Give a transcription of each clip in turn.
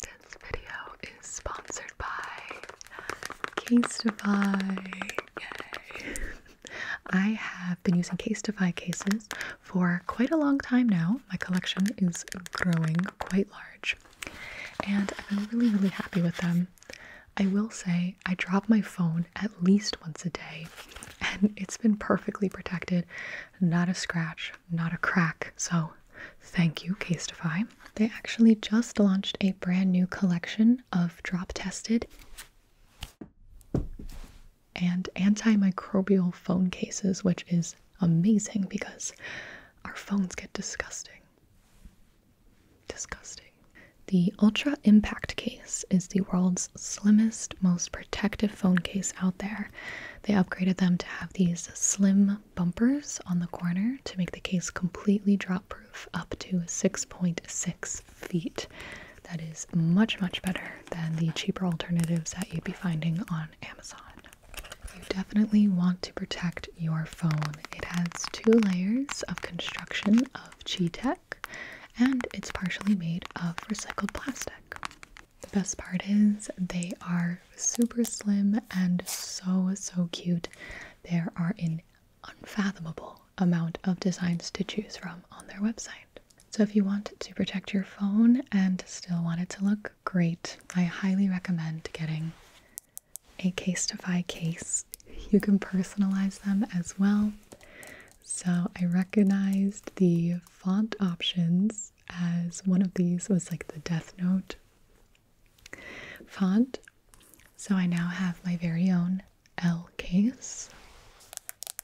This video is sponsored by Casetify. Yay! I have been using Casetify cases for quite a long time now. My collection is growing quite large, and I'm really, really happy with them. I will say I drop my phone at least once a day, and it's been perfectly protected, not a scratch, not a crack. So, thank you, Casetify. They actually just launched a brand new collection of drop tested and antimicrobial phone cases, which is amazing because our phones get disgusting. Disgusting. The Ultra Impact case is the world's slimmest, most protective phone case out there. They upgraded them to have these slim bumpers on the corner to make the case completely drop proof up to 6.6 feet. That is much, much better than the cheaper alternatives that you'd be finding on Amazon. You definitely want to protect your phone. It has two layers of construction of G tech and it's partially made of recycled plastic. The best part is they are super slim and so so cute. There are an unfathomable amount of designs to choose from on their website. So if you want to protect your phone and still want it to look great, I highly recommend getting a Casetify case. You can personalize them as well. So I recognized the font options as one of these was like the Death Note font. So I now have my very own L case.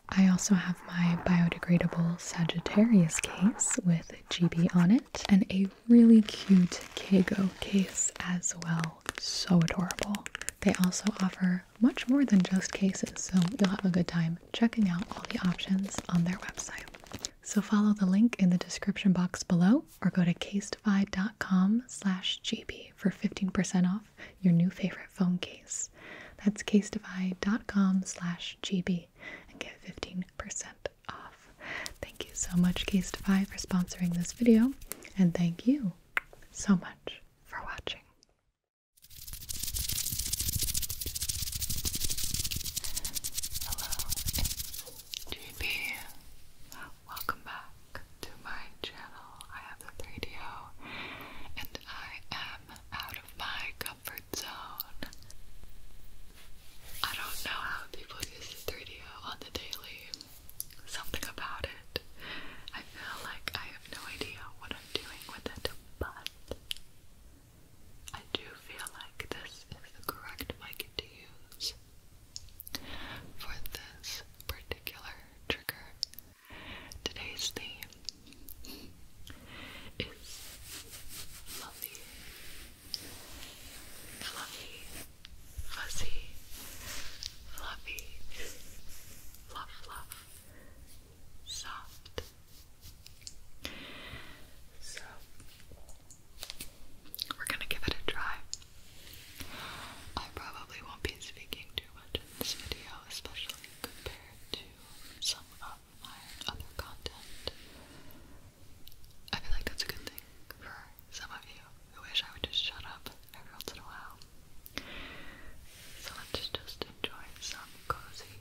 I also have my biodegradable Sagittarius case with GB on it and a really cute Kago case as well. So adorable. They also offer much more than just cases, so you'll have a good time checking out all the options on their website. So follow the link in the description box below or go to casetify.com slash gb for 15% off your new favorite phone case. That's casetify.com slash gb and get 15% off. Thank you so much Casetify for sponsoring this video and thank you so much for watching. GB, welcome back to my channel. I have the radio, and I am out of my comfort zone. I don't know how people use the 3DO on the daily. Something about it. I feel like I have no idea what I'm doing with it, but I do feel like this is the correct mic to use for this particular trigger. Today's theme is lovely, fluffy, fuzzy, fluffy, fluff, fluff, soft. So, we're gonna give it a try. I probably won't be speaking too much in this video, especially compared to some of my other content. I feel like that's a good thing for some of you who wish I would just shut up every once in a while. So let's just enjoy some cozy,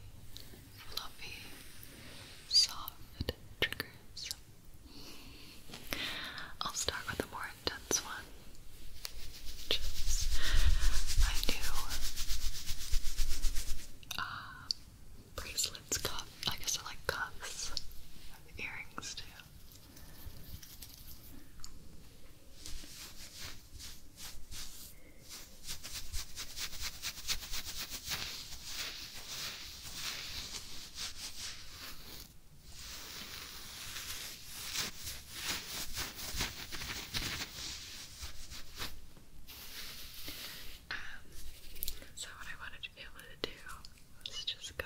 fluffy, soft triggers I'll start with a more intense one. Just, I do uh, bracelets, cuffs. I guess I like cuffs. earrings too. Um, so what I wanted to be able to do is just go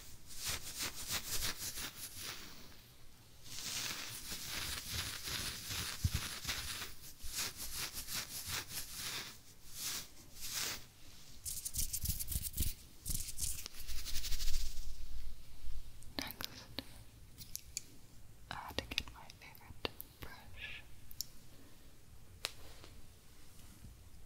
Next, I had to get my favorite brush.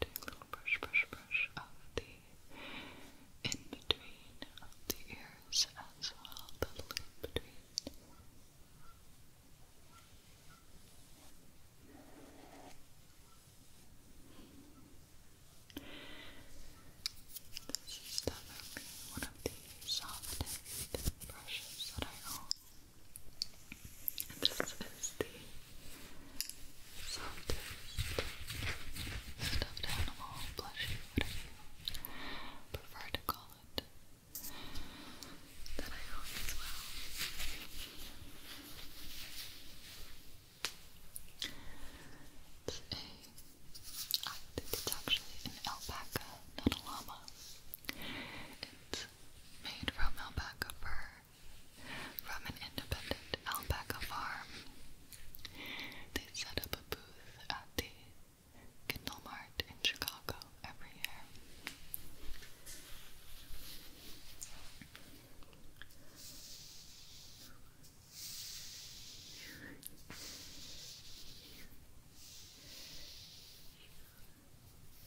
do little brush, brush, brush of the in between of the ears as well, the little between. This is definitely one of the softest brushes that I own this is the softest stuffed animal, plushie, whatever you prefer to call it, that I own as well. It's a, I think it's actually an alpaca, not a llama. It's made from alpaca fur from an independent alpaca farm. They set up a booth at the Kindle Mart in Chicago every year.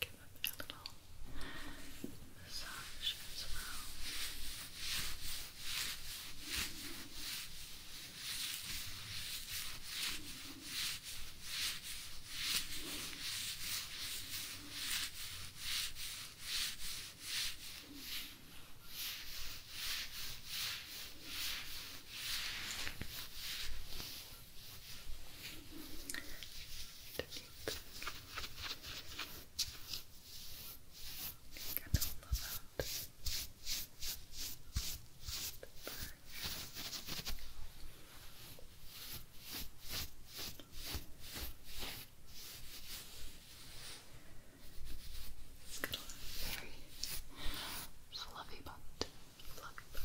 Give up gentle massage as well. Just Get all of that. a very fluffy butt. Fluffy butt.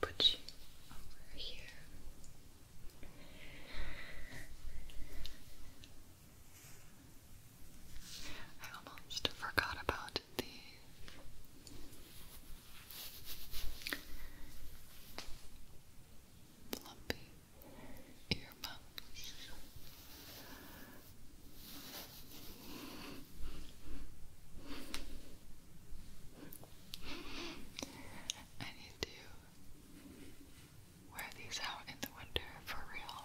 Put you over here. I almost forgot about the flumpy I need to wear these out in the winter for real.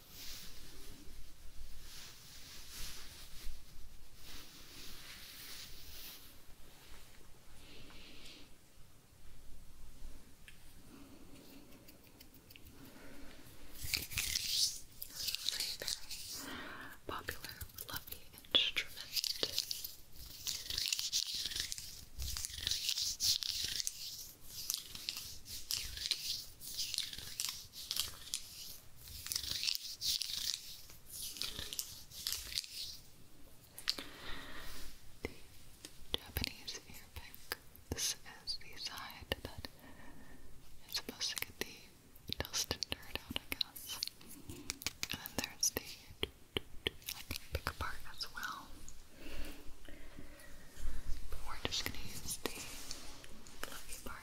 Very, very popular, lovely instrument. The Japanese ear This is the side that is supposed to get the dust and dirt out, I guess. And then there's the I pick apart as well. But we're just going to use the fluffy part.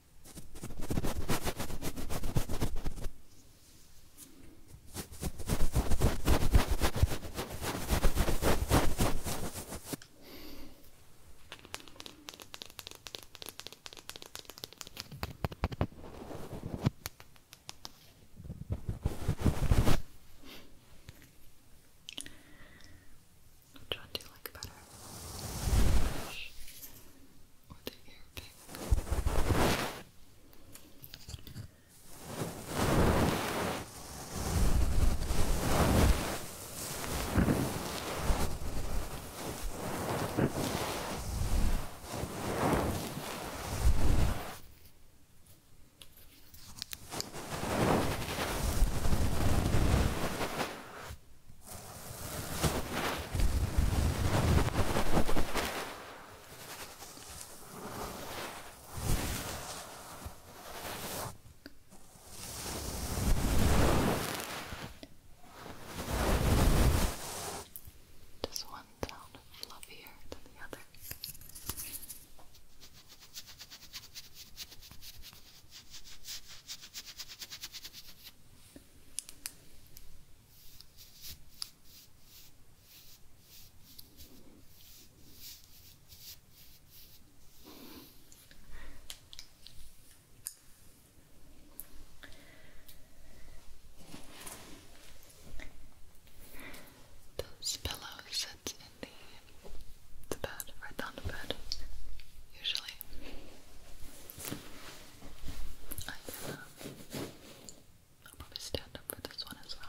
Which one do you like better? or the ear pick. Okay. Does one sound fluffier than the other? This pillow sits in the, the bed, right on the bed, usually. I can, um, i probably stand up for this one as well.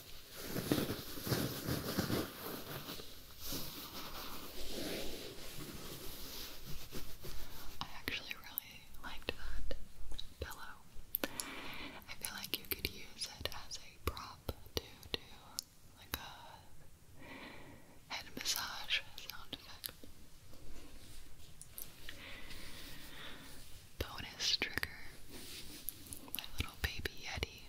I actually really liked that pillow. I feel like you could use it as a prop to do like a head massage sound effect. Bonus trigger. My little baby Yeti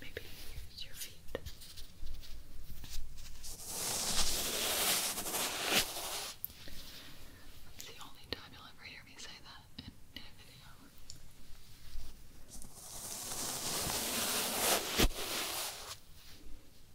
Maybe use your feet. It's the only time you'll ever hear me say that in, in a video.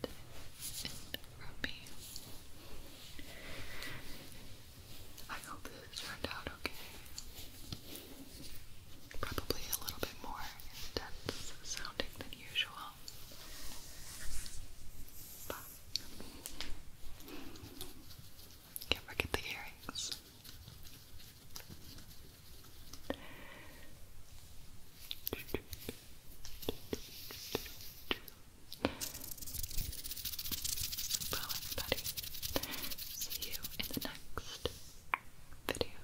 that from me. I hope this turned out okay. Probably a little bit more intense sounding than usual. But can't forget the earrings. Well, everybody, see you in the next video.